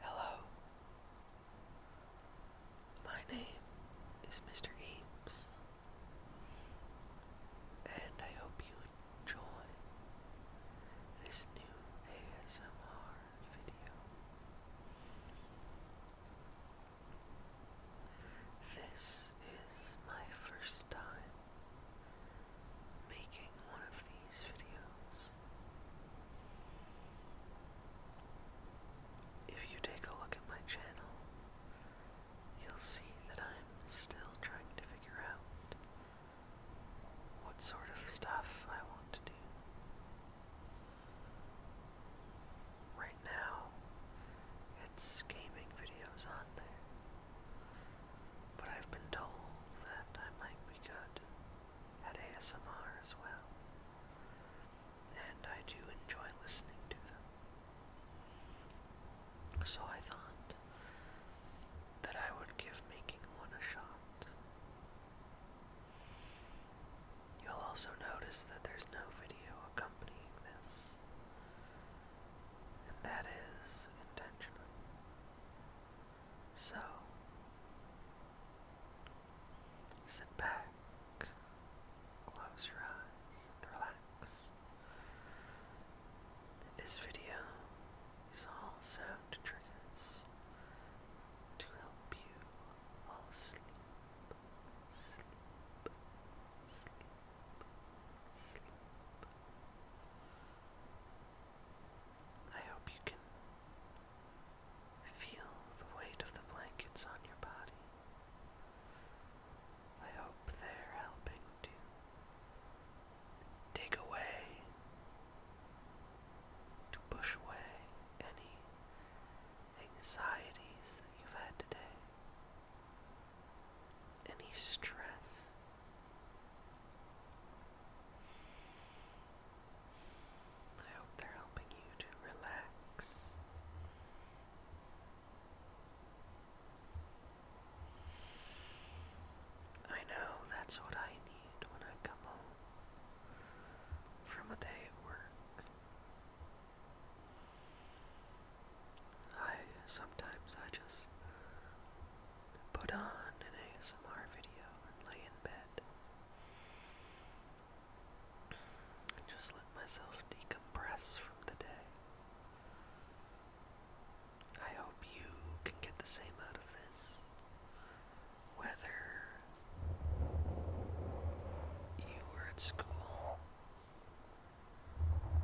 Hello. My name is Mr. Eames, and I hope you enjoy this new ASMR video. This is my first time making one of these videos. If you take a look at my channel, you'll see that I'm still trying to figure out what sort of stuff I want to do. Right now, it's gaming videos on there, but I've been told that I might we could at ASMR as well. And I do enjoy listening to them. So I thought that I would give making one a shot. You'll also notice that there's no video accompanying this, and that is intentional. So sit back, close your eyes, and relax. This video is all sound triggers to help you fall asleep, sleep, sleep, sleep. I hope you can feel the weight of the blankets on your body. I hope they're helping to take away, to push away any anxieties you've had today, any stress I hope they're helping you to relax. I know that's what I need when I come home from a day at work. I sometimes I just put on an ASMR video and lay in bed. just let myself decompress from the day. I hope you can get the same out of this. Whether you were at school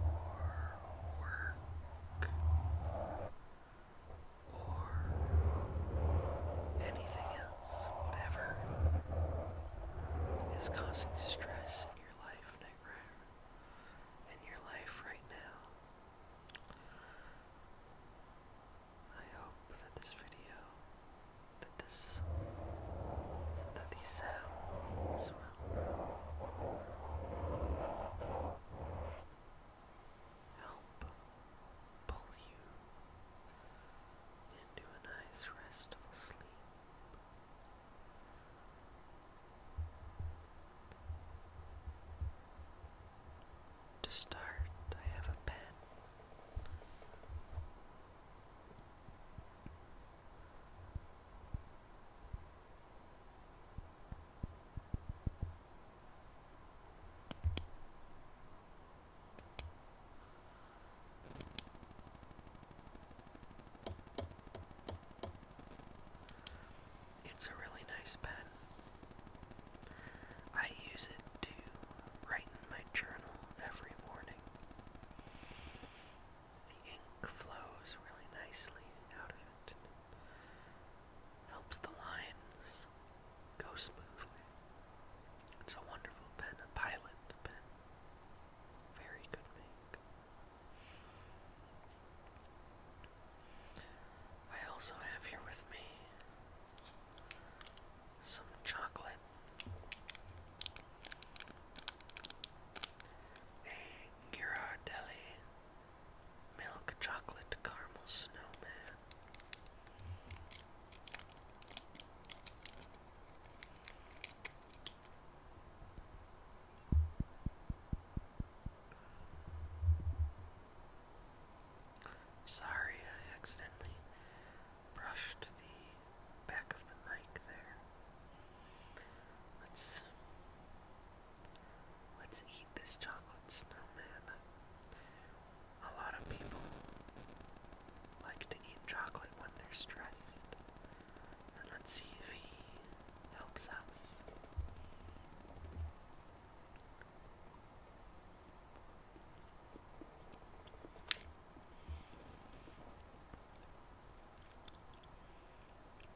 or work or anything else, whatever is causing stress in your life in your life right now. I hope that this video that this that these sounds will help pull you into a nice restful sleep. To start, I have a pen. It's a really nice pen. I use it to write in my journal every morning ink flows really nicely out of it. Helps the lines go smoothly. It's a wonderful pen, a pilot pen. Very good make. I also have here with me some chocolate, a Ghirardelli Milk chocolate caramel snowman. Sorry, I accidentally brushed the back of the mic there. Let's Let's eat this chocolate snowman. A lot of people like to eat chocolate when they're stressed. And let's see if he helps us.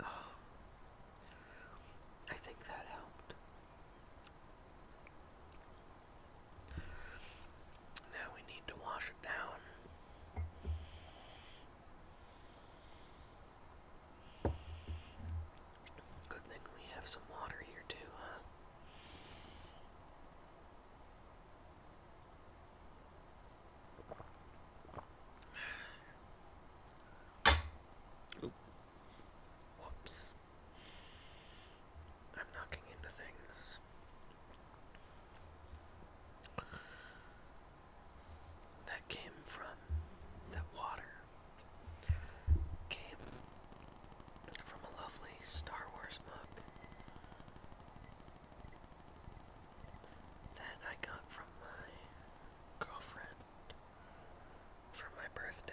Oh. I think that helped. Now we need to wash it down. Good thing we have some water here, too, huh? Oop. Whoops. I'm knocking into things. That came from that water came from a lovely Star Wars mug that I got from my girlfriend for my birthday.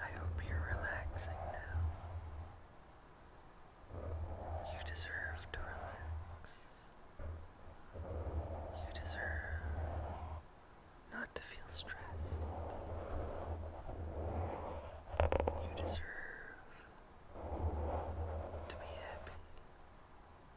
I hope you're relaxing now. You deserve to relax. You deserve not to feel stressed. You deserve to be happy.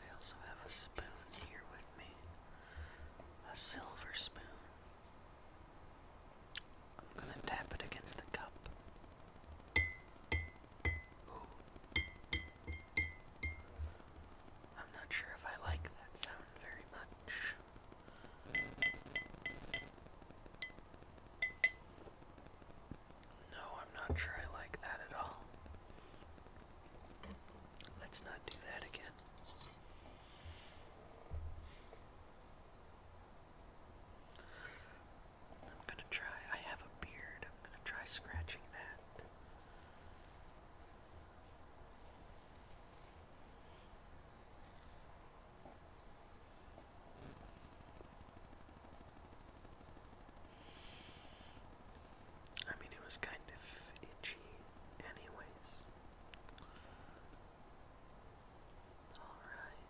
I also have a spoon here with me. A silver spoon. I'm gonna tap it against the cup. I'm not sure if I like that sound very much. No, I'm not sure I like that at all. Let's not do that again. I'm gonna try, I have a beard, I'm gonna try scratching that. I mean, it was kind of itchy, anyways. Alright.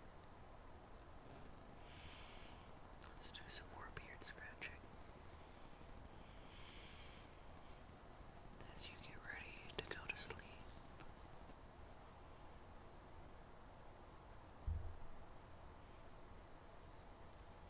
Let's do some more beard scratching. As you get ready to go to sleep.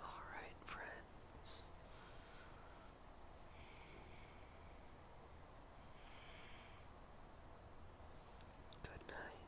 All right, friends. Good night.